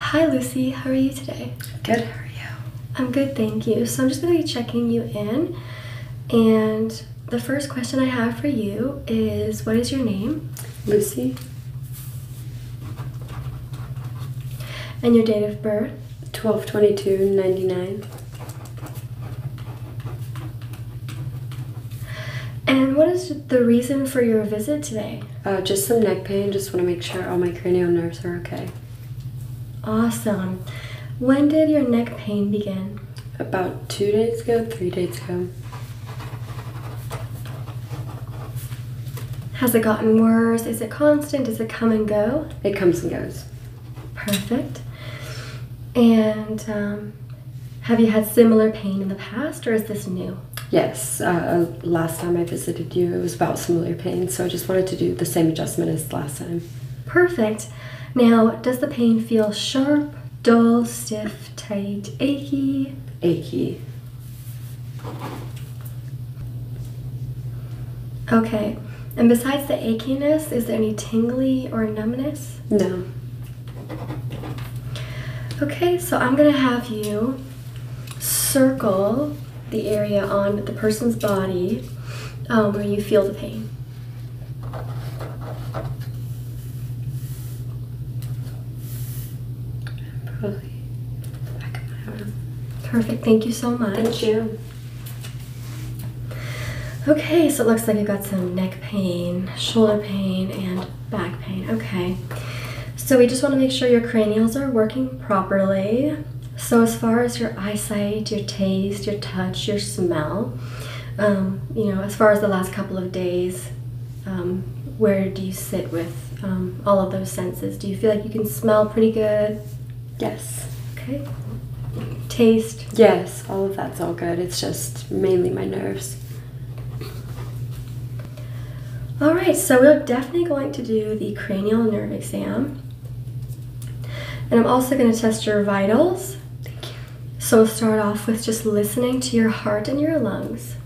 Hi Lucy, how are you today? Good, how are you? I'm good, thank you. So I'm just going to be checking you in. And the first question I have for you is what is your name? Lucy. And your date of birth? 12 And what is the reason for your visit today? Uh, just some neck pain. Just want to make sure all my cranial nerves are okay. Awesome. When did your neck pain begin? About two days ago, three days ago. Has it gotten worse? Is it constant? Does it come and go? It comes and goes. Perfect. And um, have you had similar pain in the past or is this new? Yes, uh, last time I visited you, it was about similar pain, so I just wanted to do the same adjustment as last time. Perfect. Now, does the pain feel sharp, dull, stiff, tight, achy? Achy. Okay. And besides the achiness, is there any tingling or numbness? No. Okay, so I'm gonna have you circle the area on the person's body um, where you feel the pain. Perfect. Thank you so much. Thank you. Okay, so it looks like you have got some neck pain, shoulder pain, and back pain. Okay. So we just want to make sure your cranials are working properly. So as far as your eyesight, your taste, your touch, your smell, um, you know, as far as the last couple of days, um, where do you sit with um, all of those senses? Do you feel like you can smell pretty good? Yes. Okay. Taste? Yes, all of that's all good. It's just mainly my nerves. All right, so we're definitely going to do the cranial nerve exam. And I'm also gonna test your vitals. Thank you. So we'll start off with just listening to your heart and your lungs.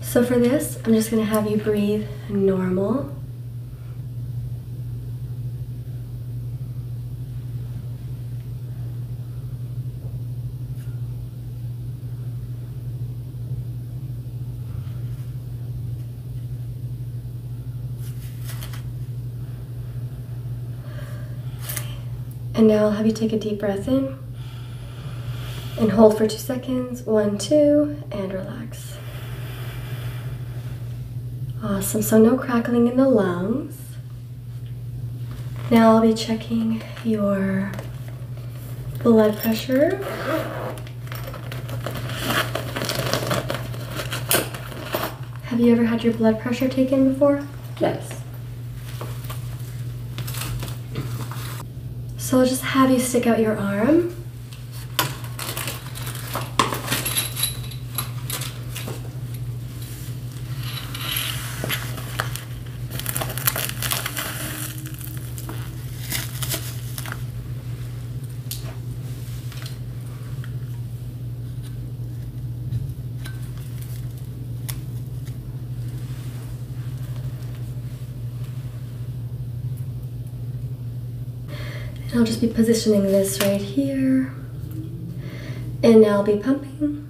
So for this, I'm just gonna have you breathe normal. And now I'll have you take a deep breath in and hold for two seconds. One, two, and relax. Awesome. So, no crackling in the lungs. Now I'll be checking your blood pressure. Have you ever had your blood pressure taken before? Yes. So I'll just have you stick out your arm. I'll just be positioning this right here. And now I'll be pumping.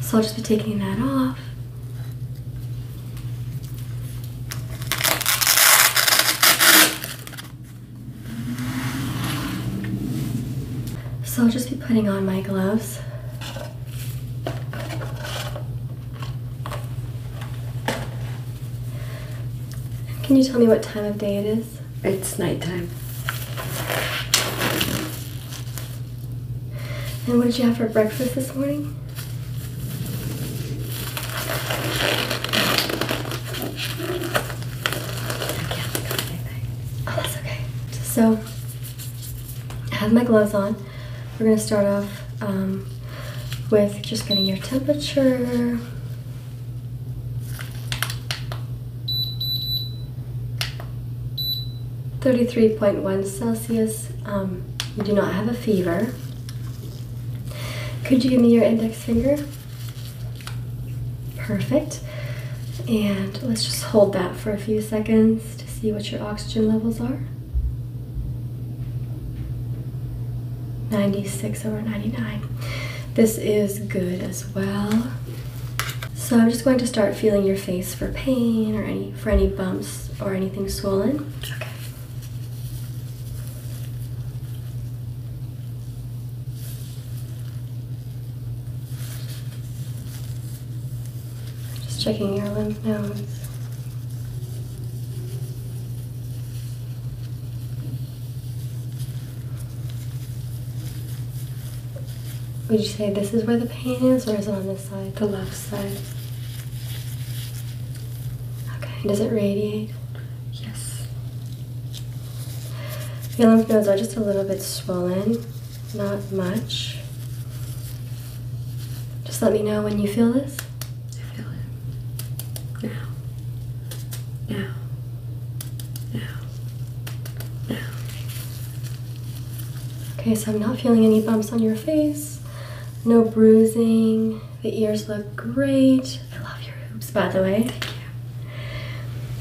So I'll just be taking that off. So I'll just be putting on my gloves. Can you tell me what time of day it is? it's nighttime. And what did you have for breakfast this morning? Oh, so, I have my gloves on. We're gonna start off um, with just getting your temperature, 33.1 Celsius. Um, you do not have a fever. Could you give me your index finger? Perfect. And let's just hold that for a few seconds to see what your oxygen levels are. 96 over 99. This is good well. So I'm just going to start feeling your face for pain or any for any bumps or anything swollen. Just checking your lymph nodes. Would you say this is where the pain is, or is it on this side, the left side? Okay, does it radiate? Yes. Your lymph nodes are just a little bit swollen, not much. Just let me know when you feel this. I feel it. Now. Now. Now. Now. Okay, so I'm not feeling any bumps on your face. No bruising. The ears look great. I love your hoops, by the way. Thank you.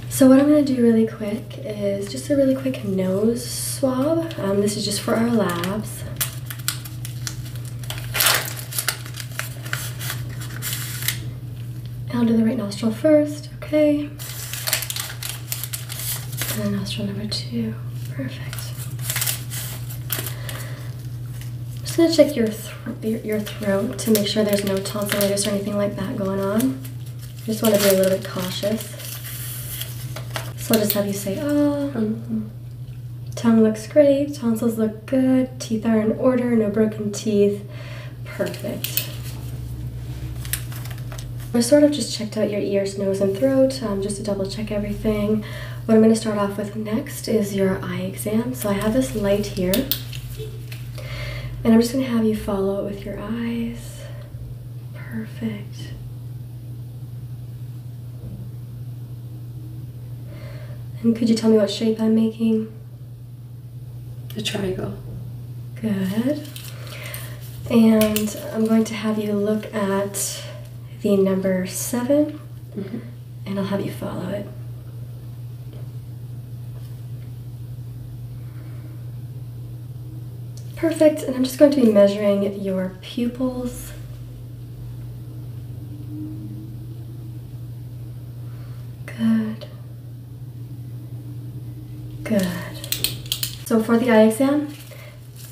So what I'm going to do really quick is just a really quick nose swab. Um, this is just for our labs. I'll do the right nostril first, okay. And nostril number two, perfect. just gonna check your, your throat to make sure there's no tonsillitis or anything like that going on. just wanna be a little bit cautious. So I'll just have you say, oh, tongue looks great, tonsils look good. Teeth are in order, no broken teeth. Perfect. I sort of just checked out your ears, nose, and throat um, just to double check everything. What I'm going to start off with next is your eye exam. So I have this light here, and I'm just going to have you follow it with your eyes. Perfect. And could you tell me what shape I'm making? The triangle. Good. And I'm going to have you look at the number 7 mm-hmm. and I'll have you follow it. Perfect, and I'm just going to be measuring your pupils. Good. Good. So for the eye exam,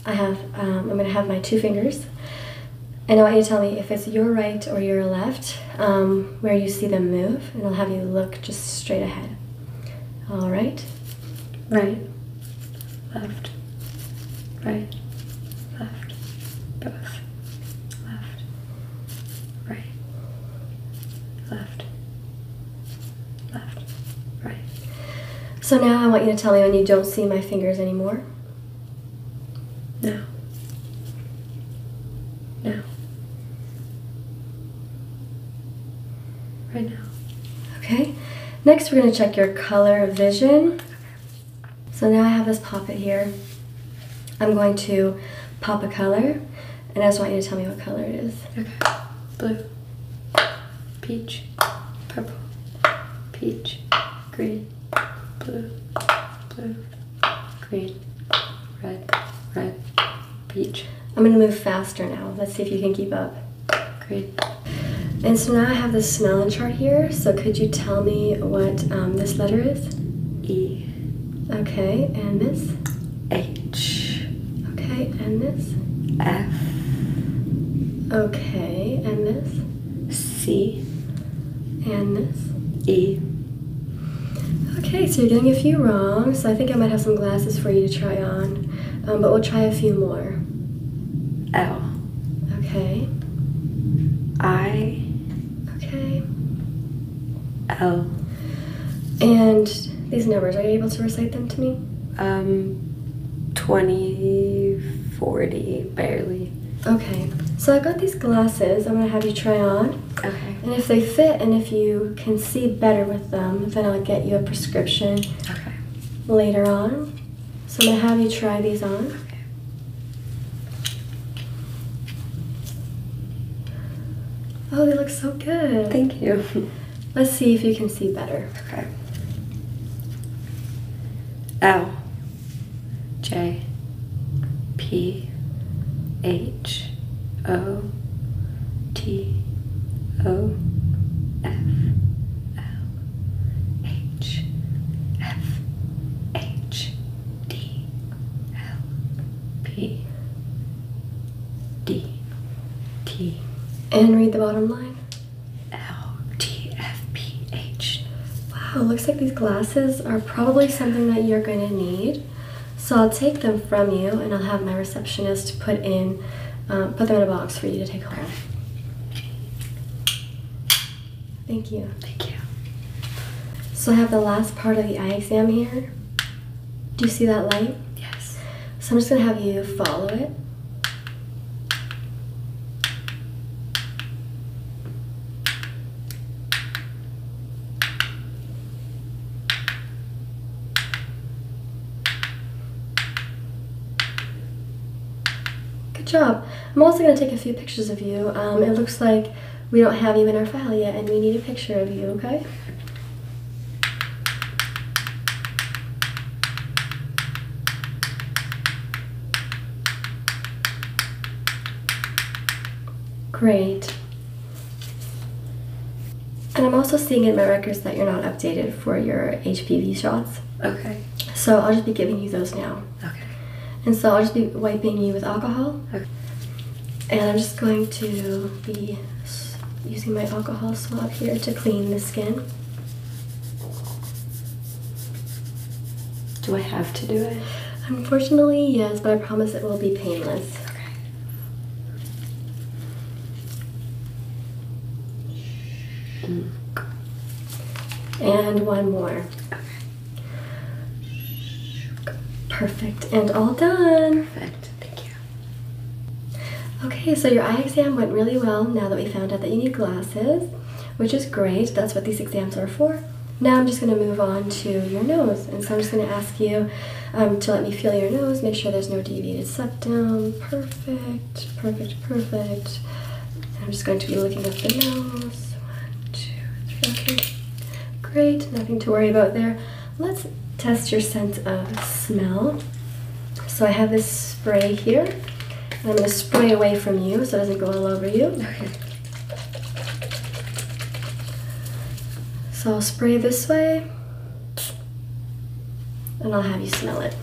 I have, um, I'm gonna have my two fingers. And I want you to tell me if it's your right or your left, um, where you see them move, and I'll have you look just straight ahead. All right? Right, left, right, left, both, left, right, left, left, right. So now I want you to tell me when you don't see my fingers anymore. No, no. Right now. Okay. Next, we're going to check your color vision. So now I have this poppet here. I'm going to pop a color, and I just want you to tell me what color it is. Okay. Blue, peach, purple, peach, green, blue, blue, green, red, red, peach. I'm gonna move faster now. Let's see if you can keep up. Great. And so now I have the smelling chart here. So could you tell me what um, this letter is? E. Okay, and this? H. Okay, and this? F. Okay, and this? C. And this? E. Okay, so you're getting a few wrong, so I think I might have some glasses for you to try on, um, but we'll try a few more. L. Okay. I. Okay. L. Oh. And these numbers, are you able to recite them to me? Um, 20, 40, barely. Okay. So I've got these glasses I'm going to have you try on. Okay. And if they fit and if you can see better with them, then I'll get you a prescription okay. later on. So I'm gonna have you try these on. Oh, they look so good. Thank you. Let's see if you can see better. Okay. L J P H O T O F L H F H D L P D T and read the bottom line. L T F P H. Wow, looks like these glasses are probably something that you're going to need. So I'll take them from you and I'll have my receptionist put in, uh, put them in a box for you to take home. Thank you. Thank you. So I have the last part of the eye exam here. Do you see that light? Yes. So I'm just gonna have you follow it. Good job. I'm also going to take a few pictures of you. Um, it looks like we don't have you in our file yet, and we need a picture of you, okay? Great. And I'm also seeing in my records that you're not updated for your HPV shots. Okay. So I'll just be giving you those now. Okay. And so I'll just be wiping you with alcohol. Okay. And I'm just going to be using my alcohol swab here to clean the skin. Do I have to do it? Unfortunately, yes, but I promise it will be painless. Okay. And one more. Perfect. And all done. Perfect. Thank you. Okay, so your eye exam went really well now that we found out that you need glasses, which is great. That's what these exams are for. Now I'm just going to move on to your nose. And so I'm just going to ask you um, to let me feel your nose, make sure there's no deviated septum. Perfect perfect, perfect, I'm just going to be looking at the nose. One, two, three, Great, nothing to worry about there. Let's test your sense of smell. So I have this spray here. I'm gonna spray away from you so it doesn't go all over you. Okay. So I'll spray this way and I'll have you smell it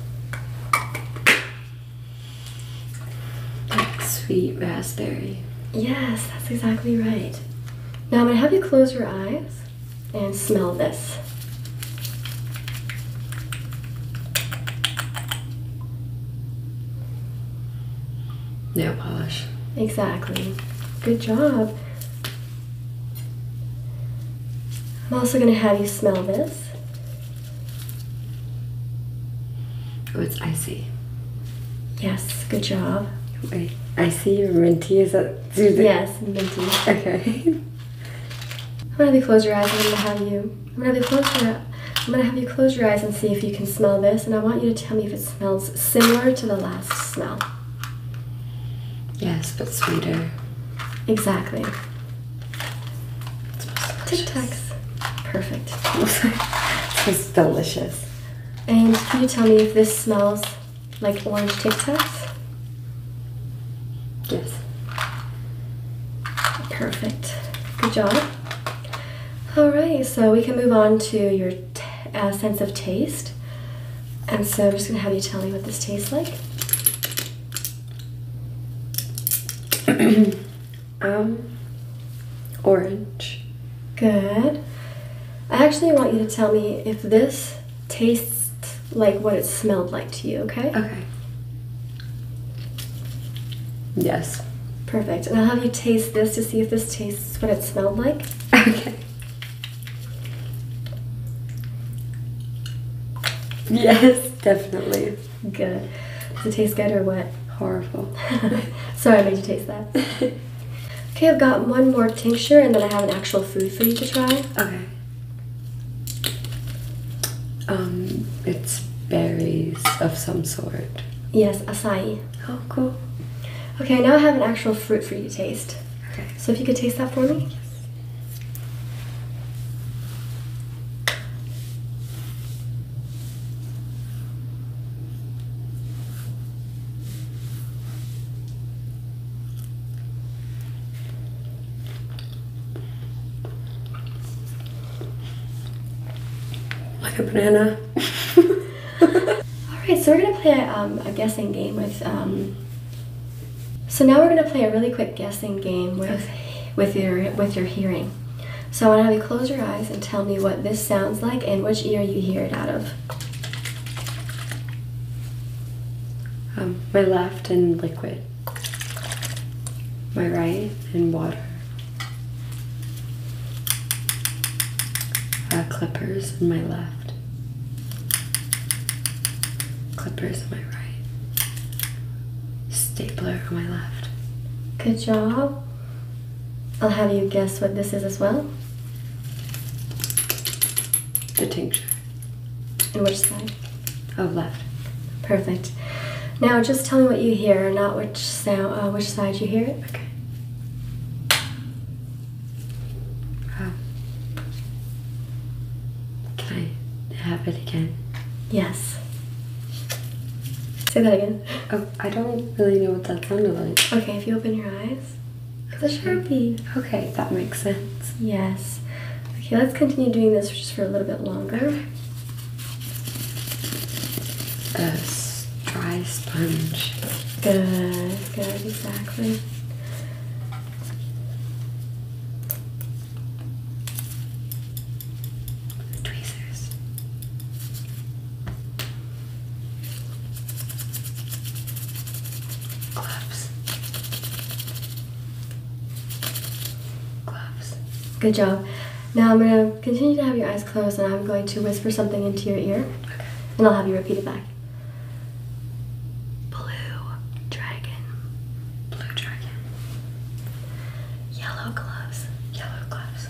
sweet raspberry. Yes, that's exactly right. Now I'm gonna have you close your eyes and smell this. Nail polish. Exactly. Good job. I'm also gonna have you smell this. Oh, it's icy. Yes, good job. Wait, icy or minty? Is that Yes, minty. Okay. I'm gonna have you close your eyes. I'm gonna have you. I'm gonna have you close your eyes and see if you can smell this, and I want you to tell me if it smells similar to the last smell. Yes, but sweeter. Exactly. Tic Tacs. Perfect. smells delicious. And can you tell me if this smells like orange Tic Tacs? Yes. Perfect. Good job. All right, so we can move on to your uh, sense of taste. And so I'm just gonna have you tell me what this tastes like. um, orange. Good. I actually want you to tell me if this tastes like what it smelled like to you, okay? Okay. Yes. Perfect. And I'll have you taste this to see if this tastes what it smelled like. Okay. Yes, definitely. Good. Does it taste good or what? Horrible. Sorry I made you taste that. okay, I've got one more tincture and then I have an actual food for you to try. Okay. Um, it's berries of some sort. Yes, asai. Oh, cool. Okay, now I have an actual fruit for you to taste. Okay. So if you could taste that for me. Like a banana. All right, so we're gonna play um, a, guessing game with um, so now we're going to play a really quick guessing game with, with, your, with your hearing. So I want to have you close your eyes and tell me what this sounds like and which ear you hear it out of. Um, my left and liquid. My right and water. Uh, clippers in my left. Clippers on my right. Stapler on my left. Good job. I'll have you guess what this is as well. The tincture. And which side? Of oh, left. Perfect. Now just tell me what you hear, not which sound, uh, which side you hear it. Okay. Oh. Can I have it again? Yes. Say that again. Oh, I don't really know what that sounded like. Okay, if you open your eyes. It's a sharpie. Okay, that makes sense. Yes. Okay, let's continue doing this just for a little bit longer. A dry sponge. Good, good, exactly. Tweezers. Gloves. Gloves. Good job. Now I'm going to continue to have your eyes closed and I'm going to whisper something into your ear and I'll have you repeat it back. Blue dragon. Blue dragon. Yellow gloves. Yellow gloves.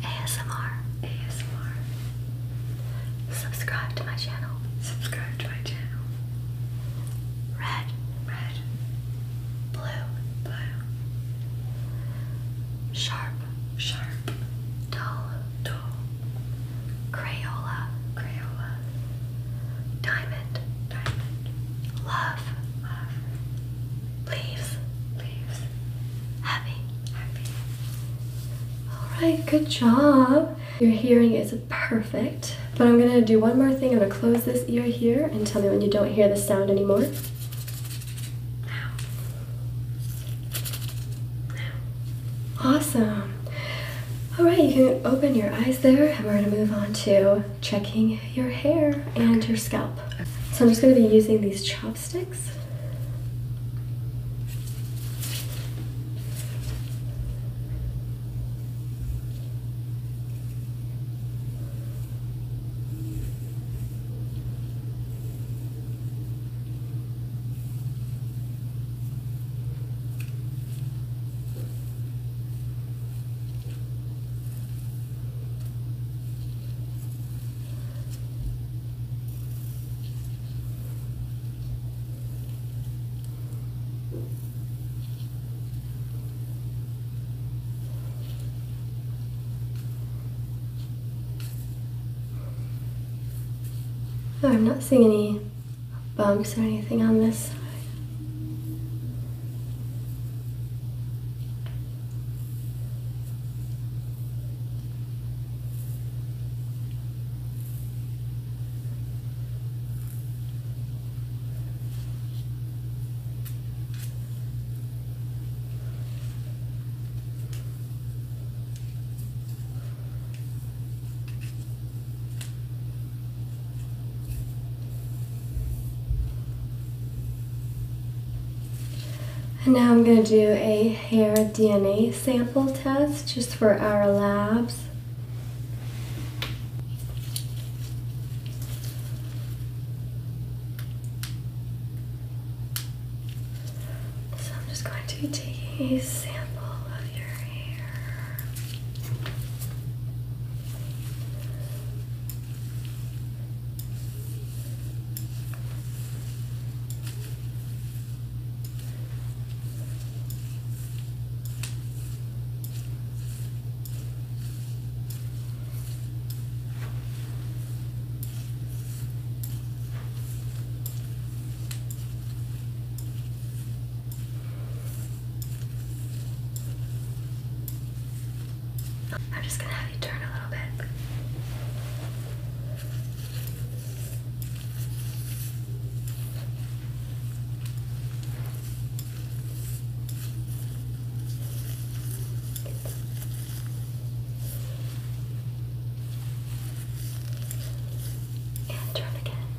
ASMR. ASMR. Subscribe to my channel. Subscribe to my channel. Red. Red. Blue. Blue. Sharp. Sharp. Dull. Dull. Crayola. Crayola. Diamond, diamond. Love, love. Leaves, leaves. Happy, happy. Alright, good job. Your hearing is perfect. But I'm gonna do one more thing. I'm gonna close this ear here and tell me when you don't hear the sound anymore. Now. Now. Awesome. All right, you can open your eyes there. and We're gonna move on to checking your hair and your scalp. So I'm just gonna be using these chopsticks. I'm not seeing any bumps or anything on this side. And now I'm going to do a hair DNA sample test just for our labs. So I'm just going to be taking a sample of your hair. Good. I'm just gonna have you turn a little bit and turn again. And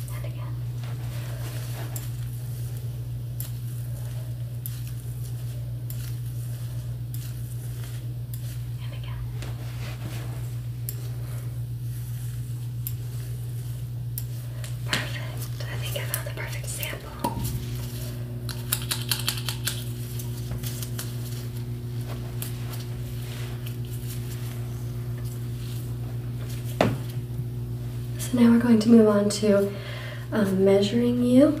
again. And again. Perfect. I think I found the perfect sample. So now we're going to move on to um, measuring you.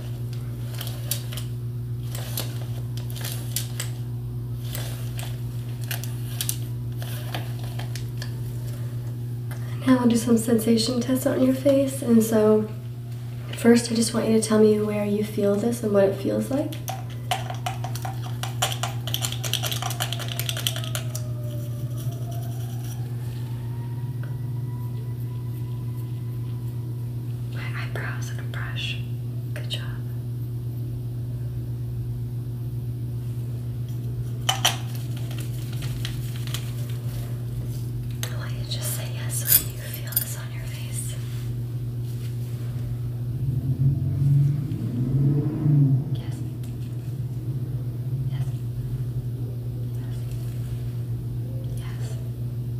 Now I'll do some sensation tests on your face. And so first I just want you to tell me where you feel this and what it feels like. My eyebrows and a brush. Good job. I want you to just say yes when you feel this on your face. Yes. Yes. Yes. Yes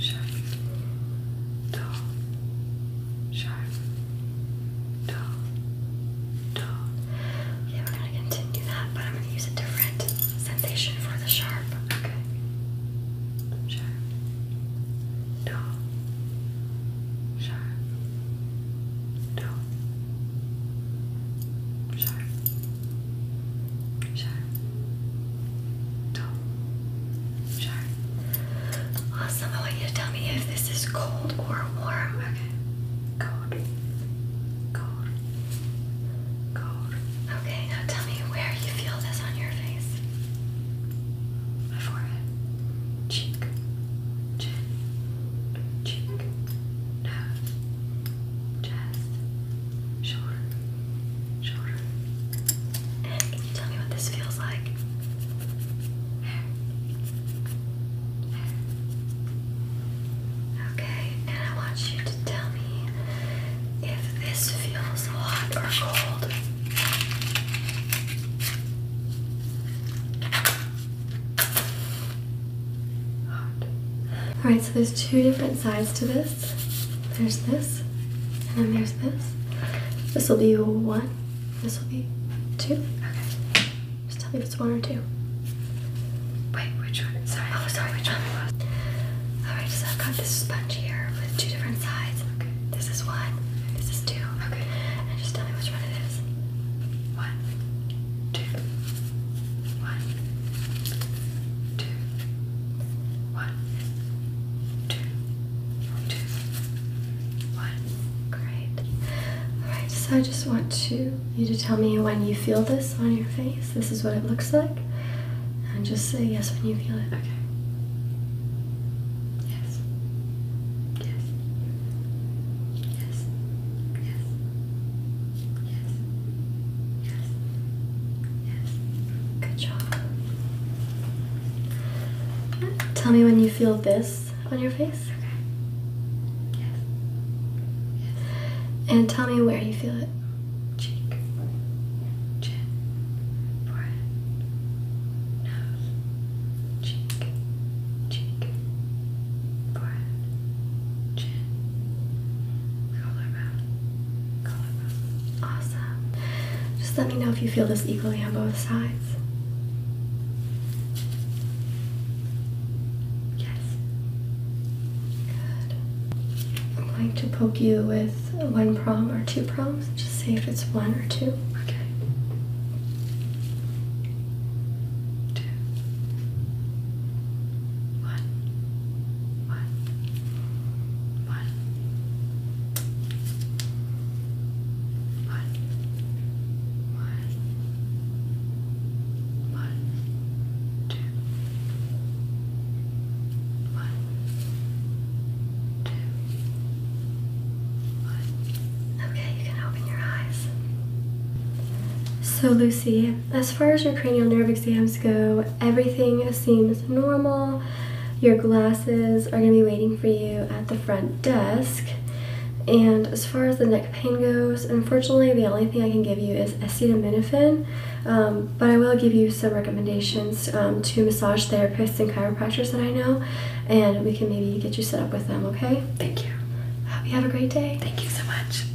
sharp, dull, sharp, dull, dull. Okay, we're gonna continue that, but I'm gonna use a different sensation for the sharp. Okay. Sharp, dull, sharp, dull, sharp. Sharp. Top. Sharp. Awesome. I want you to tell me if this is cold or warm. Okay. Cold. Cold. Cold. Okay, now tell me where you feel this on your face. My forehead. Cheek. Chin. Cheek. Nose. Chest shoulder, shoulder. Can you tell me what this feels like? Okay, and I want you to tell me if this feels hot or cold. Hot. Alright, so there's two different sides to this there's this, and then there's this. This will be one, this will be two. Okay. Just tell me if it's one or two. Wait, which one? Sorry. Oh, sorry, which one was. Alright, so I've got this sponge here with two different sides. Okay. This is one, this is two. Okay. And just tell me which one it is. One, two, one, two. One, two, two, one. Great. Alright, so I just want you to tell me when you feel this on your face. This is what it looks like. And just say yes when you feel it. Okay. Yes. Yes. Yes. Yes. Yes. Yes. Yes. Good job. Tell me when you feel this on your face. Okay. Yes. Yes. And tell me where you feel it. Cheek. Chin. Forehead. Nose. Cheek. Cheek. Forehead. Chin. Color mouth. Awesome. Just let me know if you feel this equally on both sides. Yes. Good. I'm going to poke you with one prom or two proms. Just see if it's one or two. Okay. Two. One. One. Okay, you can open your eyes. So, Lucy, as far as your cranial nerve exams go, everything seems normal. Your glasses are going to be waiting for you at the front desk. And as far as the neck pain goes, unfortunately, the only thing I can give you is acetaminophen, um, but I will give you some recommendations um, to massage therapists and chiropractors that I know, and we can maybe get you set up with them, okay? Thank you. Hope you have a great day. Thank you so much.